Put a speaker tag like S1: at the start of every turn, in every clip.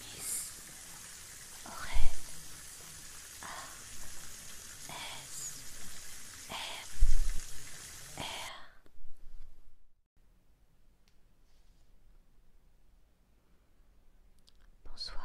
S1: Miss Aurel A S M R Bonsoir.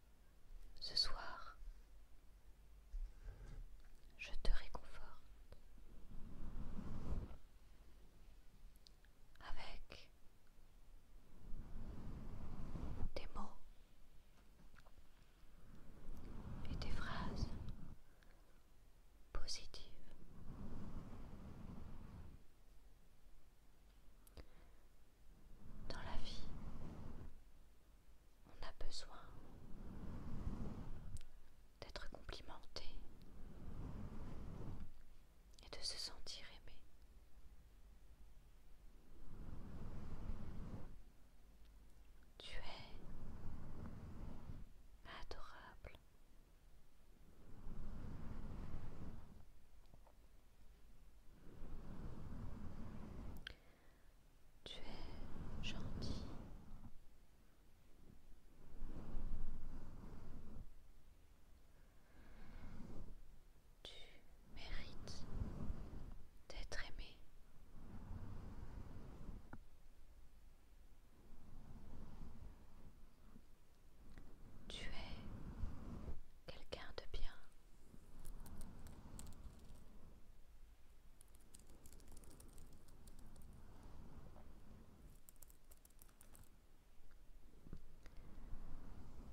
S1: Ce soir, je te réconforte avec des mots et des phrases positives. Dans la vie, on a besoin d'être complimenté et de se sentir aimé. Tu es adorable. Tu es gentil. Tu mérites d'être aimé. Tu es quelqu'un de bien.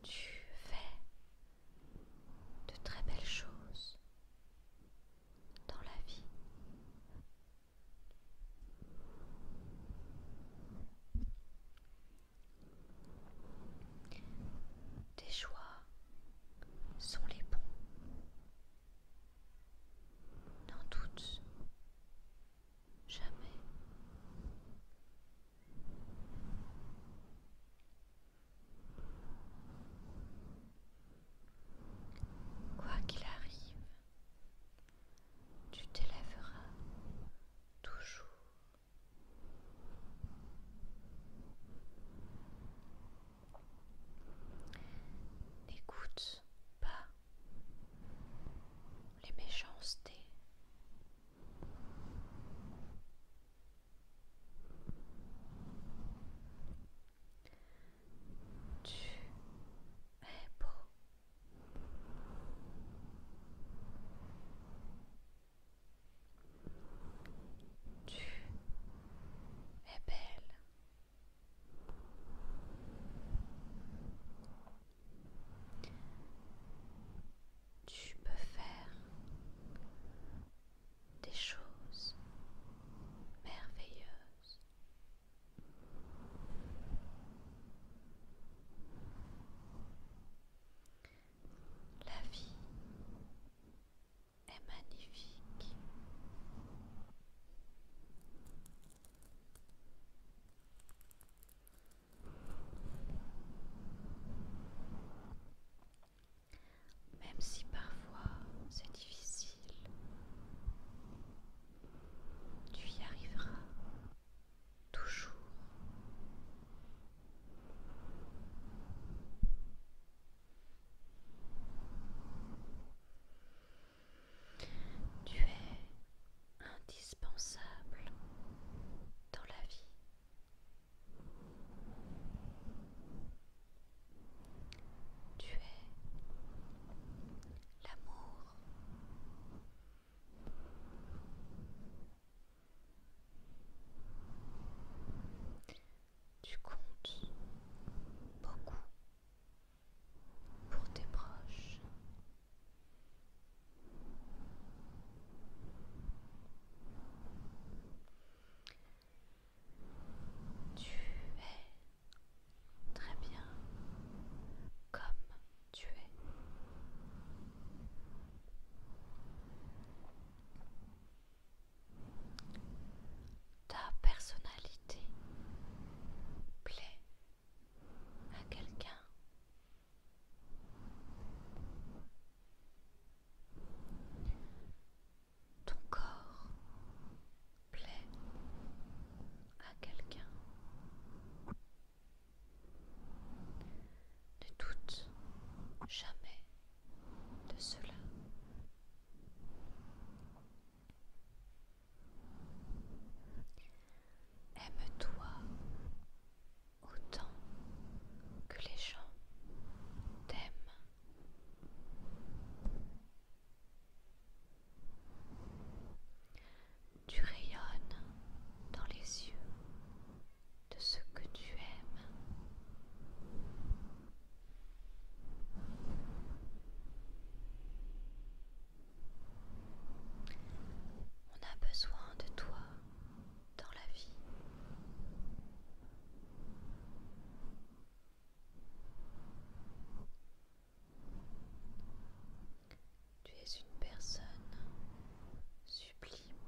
S1: Tu fais de très belles choses dans la vie. Tes choix sont les bons. N'en doute jamais. Quoi qu'il arrive, tu t'élèveras toujours N'écoute pas les méchancetés. Tu es beau. Tu es belle. Tu peux faire des choses merveilleuses. La vie est magnifique. Même si parfois c'est difficile, tu y arriveras toujours tu es indispensable dans la vie tu es l'amour tu comptes beaucoup pour tes proches. Tu es Très bien. Comme tu es. Ta personnalité plaît à quelqu'un. Ton corps plaît à quelqu'un ne doute jamais de cela aime-toi autant que les gens t'aiment tu rayonnes dans les yeux de ce que tu aimes. On a besoin de toi dans la vie. Tu es une personne sublime.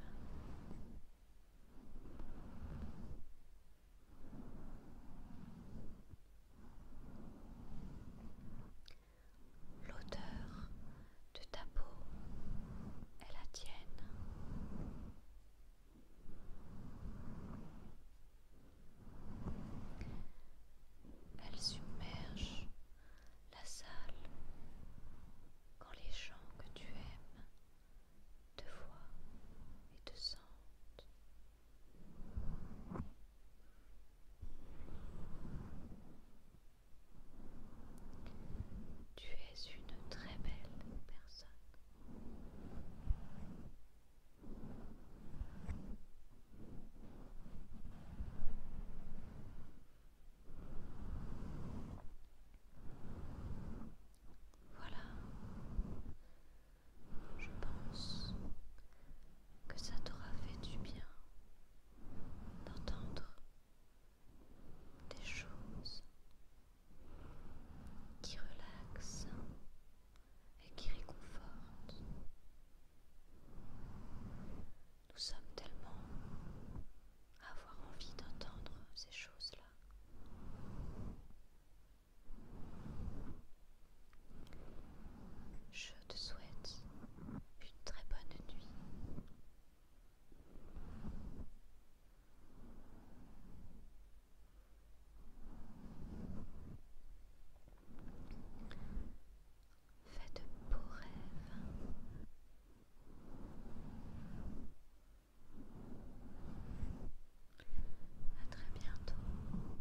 S1: L'odeur de ta peau est la tienne. Elle submerge la salle quand les gens que tu aimes te voient et te sentent. Tu es une très belle personne. Voilà, je pense que ça t'aura fait du bien d'entendre des choses qui relaxe et qui réconforte. Nous sommes tellement à avoir envie d'entendre ces choses-là. Je te souhaite une très bonne nuit. Faites de beaux À très bientôt.